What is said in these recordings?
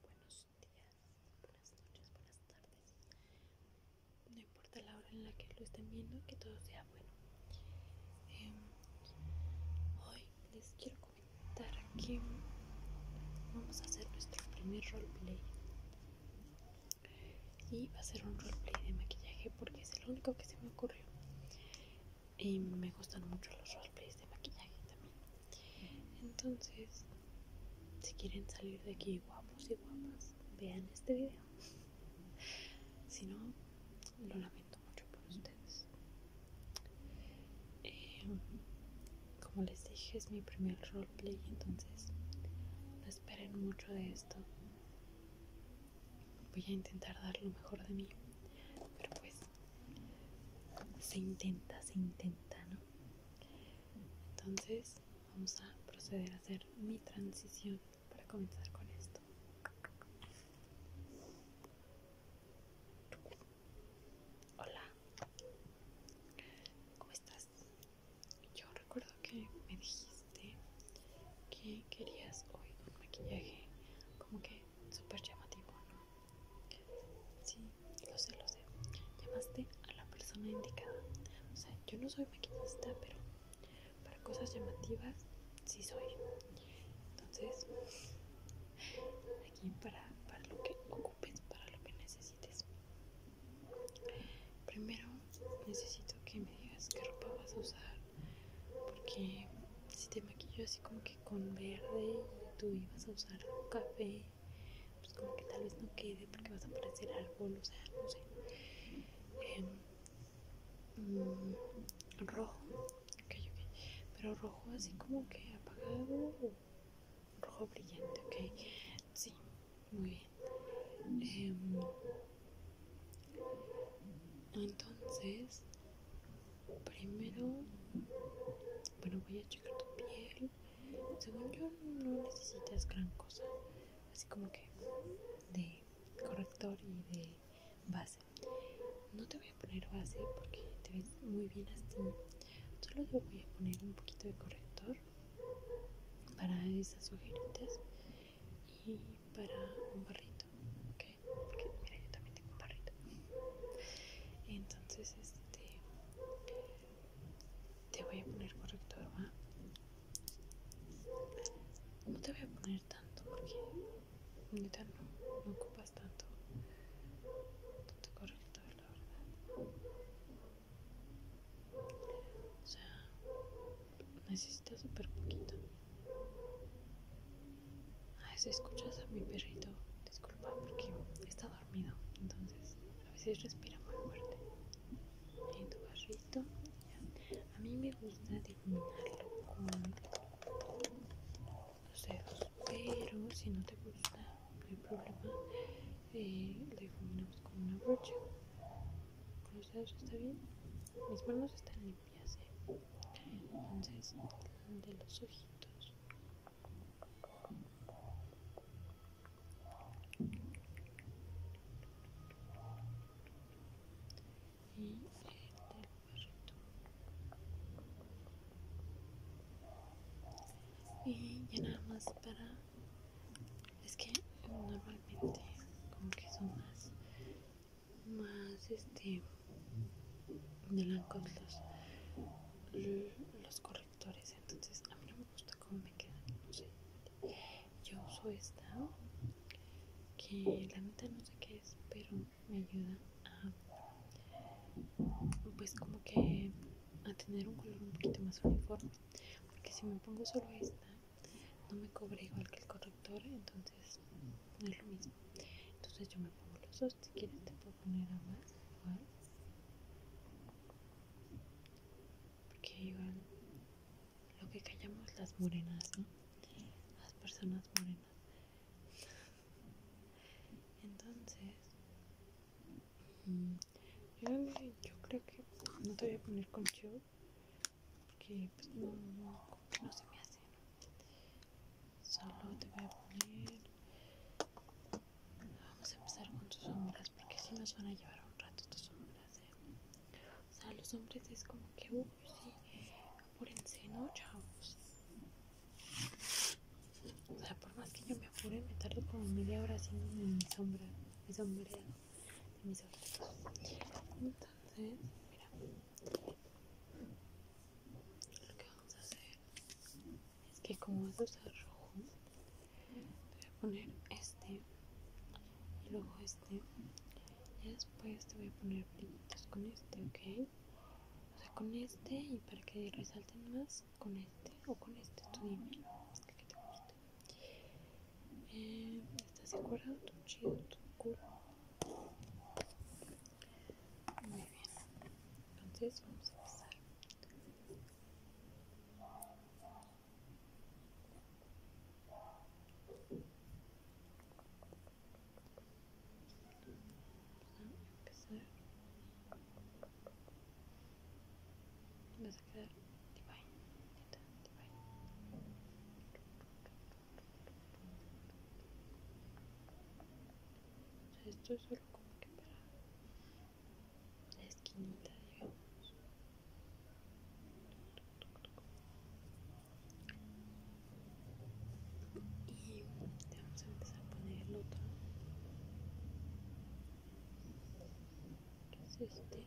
Buenos días, buenas noches, buenas tardes. No importa la hora en la que lo estén viendo, que todo sea bueno. Em, hoy les quiero comentar que vamos a hacer nuestro primer roleplay. Y va a ser un roleplay de maquillaje porque es el único que se me ocurrió y me gustan mucho los roleplays de maquillaje también. Entonces, si quieren salir de aquí guapos y guapas, vean este video. Si no, lo lamento mucho por ustedes. Em, como les dije, es mi primer roleplay, entonces no esperen mucho de esto. Voy a intentar dar lo mejor de mí, pero pues se intenta, se intenta, ¿no? Entonces vamos a proceder a hacer mi transición para comenzar con esto. Hola, ¿cómo estás? Yo recuerdo que me dijiste que querías hoy un maquillaje como que super llamativo, ¿no? Sí, lo sé, lo sé. Llamaste a la persona indicada. O sea, yo no soy maquillista, pero para cosas llamativas sí soy. Entonces, aquí para, lo que ocupes, para lo que necesites. Primero necesito que me digas qué ropa vas a usar, porque si te maquillo así como que con verde tú ibas a usar café, pues como que tal vez no quede porque vas a aparecer algo, o sea, no sé. Em, mm, rojo, pero rojo así como que apagado rojo brillante, ok. Sí, muy bien. Em, entonces, primero, bueno, voy a checar tu piel. Según yo, no necesitas gran cosa, así como que de corrector y de base. No te voy a poner base porque te ves muy bien así. Solo te voy a poner un poquito de corrector para esas ojeritas y para un barrito, ¿ok? mira, yo también tengo un Entonces, este, te voy a poner corrector, ¿va? No te voy a poner tanto porque no, no ocupas tanto, tanto corrector, la verdad. O sea, necesitas súper poquito. Ah, si escuchas a mi perrito, disculpa porque está dormido, entonces a veces respira muy fuerte. En tu perrito, a mí me gusta difuminarlo con los dedos, pero si no te gusta, no hay problema, eh, lo difuminamos con una brocha. Con los dedos está bien, mis manos están limpias ya sé entonces de los ojitos y el del perrito y ya nada más para es que normalmente como que son más más este de blancos los, los correctores. Entonces a mí no me gusta cómo me quedan. Yo uso esta que la mitad no sé qué es, pero me ayuda a pues como que a tener un color un poquito más uniforme. Porque si me pongo solo esta no me cubre igual que el corrector entonces no es lo mismo entonces yo me pongo los dos si quieres te puedo poner a más porque igual lo que callamos las morenas ¿no? las personas morenas entonces mm, yo, yo creo que no te voy a poner con show porque pues, no, se me hace solo te voy a poner vamos a empezar con tus sombras porque si nos van a llevar un rato tus sombras ¿eh? o sea los hombres es como que uy sí apúrense no chavos o sea por más que yo me apure me tardo como media hora haciendo mi sombra mi sombreado mis entonces mira lo que vamos a hacer es que como vas a usar rojo te voy a poner este y luego este y después te voy a poner brillitos con este ok o sea con este y para que resalten más con este o con este tú dime que te gusta? ¿Estás de acuerdo? Chido, tu culo. Muy bien. Entonces vamos a empezar vas a quedar divine, neta, esto es solo como que para la esquinita, digamos. Y te vamos a empezar a poner el otro. ¿Qué es este?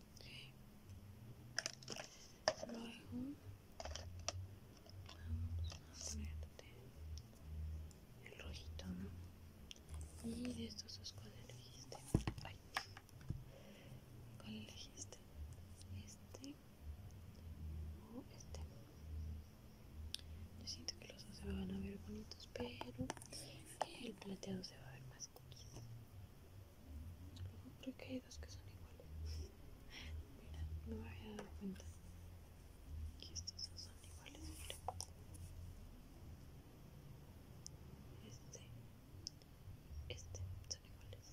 Luego vamos a poner el rojito, ¿no? Y de estos dos, ¿cuál elegiste? ¿Cuál elegiste? Este, este. o oh, este. Yo siento que los dos se van a ver bonitos, pero el plateado se va a ver más cookies. No, creo que hay dos que son iguales. Mira, no me había dado cuenta que estos dos son iguales. este, este son iguales.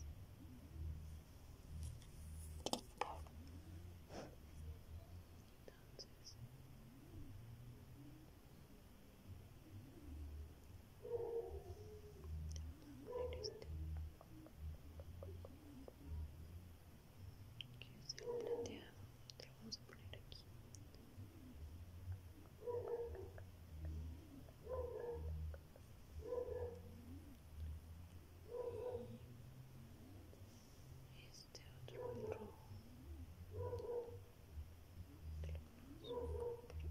Entonces, te este. que es el plateado te lo vamos a poner aquí y este otro rojo te lo ponemos por aquí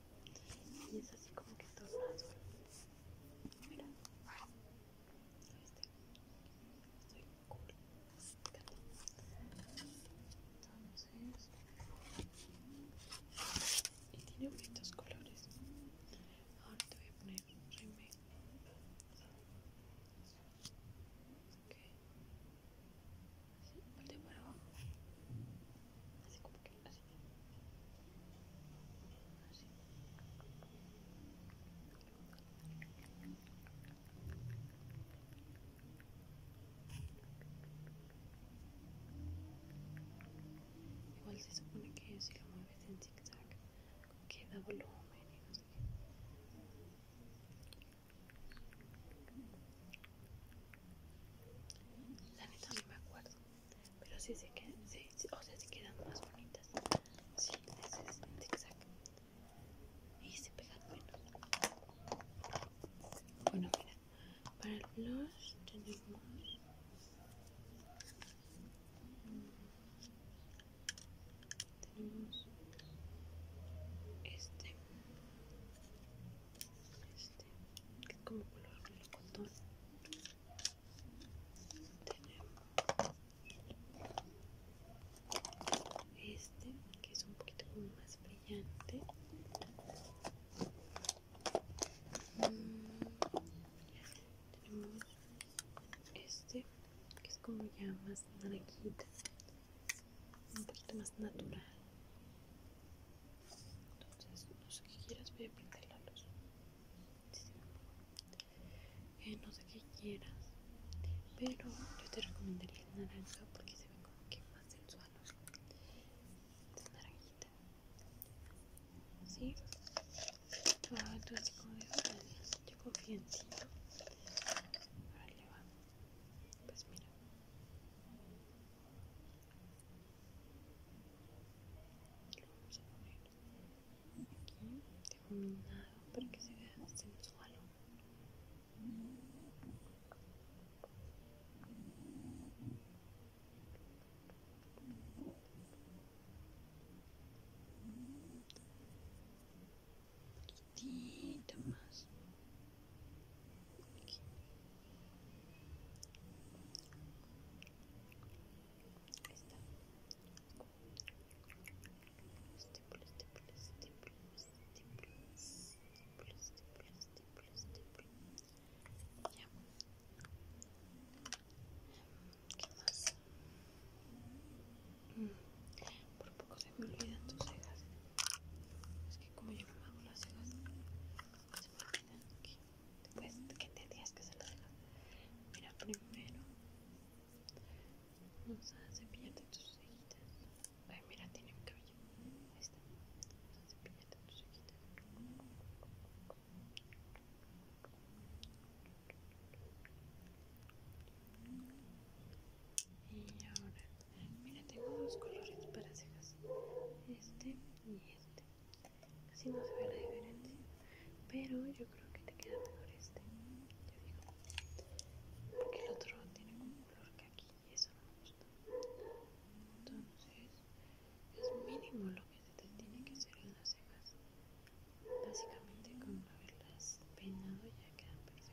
y es así como que todo azul mira este estoy cool entonces y tiene bonitos colores ahora te voy a poner así, para abajo así como que Igual se supone que si lo mueves en zigzag queda volumen y no sé qué. La neta no me acuerdo pero sí se quedan, sí, o sea, se quedan más bonitas sí, ese es zigzag y se pegan menos bueno, mira para el tenemos tenemos este este que es como color melocotón tenemos este que es un poquito como más brillante tenemos mm, este que es como ya más naranjita un poquito más natural entonces no sé qué quieras voy a pintar la luz eh, no sé qué quieras pero yo te recomendaría el naranja porque se ve como que más sensual es naranjita ¿sí? Ah, tú así como de yo confío en ti le pues mira vamos a poner para que se vea sensual un poquitito más por poco se me olvidan tus cejas. Es que como yo me las cejas, ¿Qué? te olvidan que que se lo dejas. Mira, primero vamos a cepillarte tus cejitas. Ay, mira, tiene un cabello. Ahí está. Vamos a cepillarte tus cejitas. Y ahora Mira, tengo dos colores para cejas. Este y este. Casi no se ve la diferencia. Pero yo creo que te queda mejor este. Yo digo. Porque el otro tiene como un color que aquí y eso no me gusta. Entonces, es mínimo lo que se te tiene que hacer en las cejas. Básicamente con haberlas peinado ya quedan perfectas.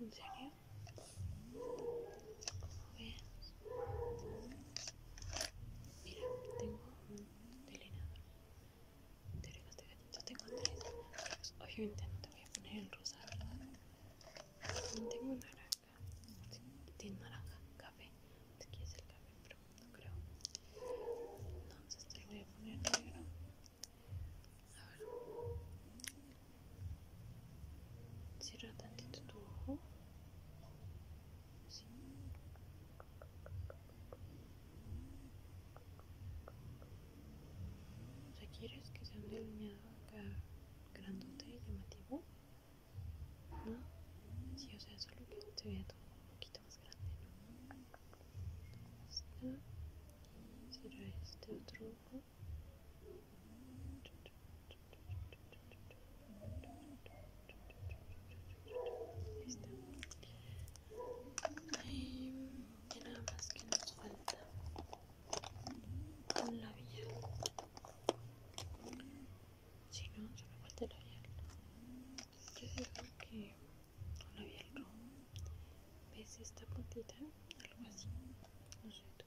¿En serio? Mira, tengo un delineador de tengo tres Oye, Obviamente no te voy a poner el rosa, ¿verdad? Tengo naranja, tiene naranja, café sé quieres es el café, pero no creo Entonces te lo voy a poner negro a ver. Cierra tantito tu ojo. Sí. O sea, ¿quieres que sea un delineado acá grandote llamativo? ¿No? Sí, o sea, solo que te vea todo un poquito más grande, ¿no? esta, será este otro ojo. nada más que nos falta un labial. Si no, solo falta el labial. que no había el rojo ves esta puntita algo así no sé tú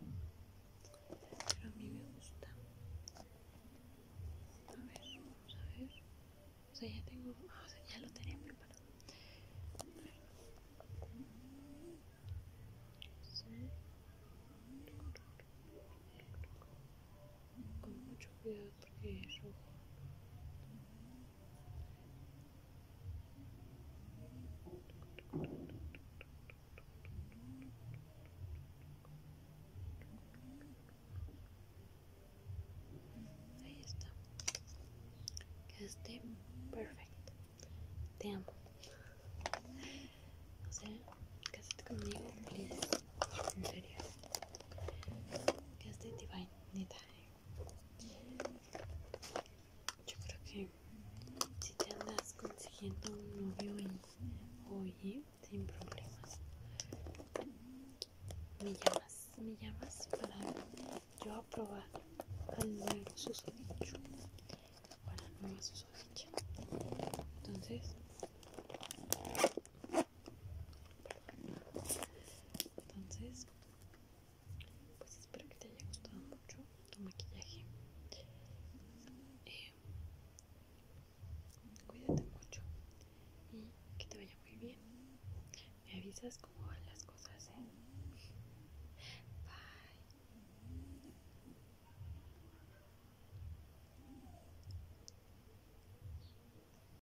pero a mí me gusta a ver vamos a ver o sea ya tengo ah, o sea, ya lo tenía preparado sí. con mucho cuidado porque es rojo Ahí está. Que esté perfecto. Te amo. O sea, esté conmigo, please. En serio. Que esté divine, neta. Yo creo que si te andas consiguiendo un novio y oye, sin problemas, me llamas, me llamas para yo aprobar al nuevo susodicho para a la nueva Entonces, entonces pues espero que te haya gustado mucho tu maquillaje eh, cuídate mucho y que te vaya muy bien me avisas cómo van las cosas ¿eh? bye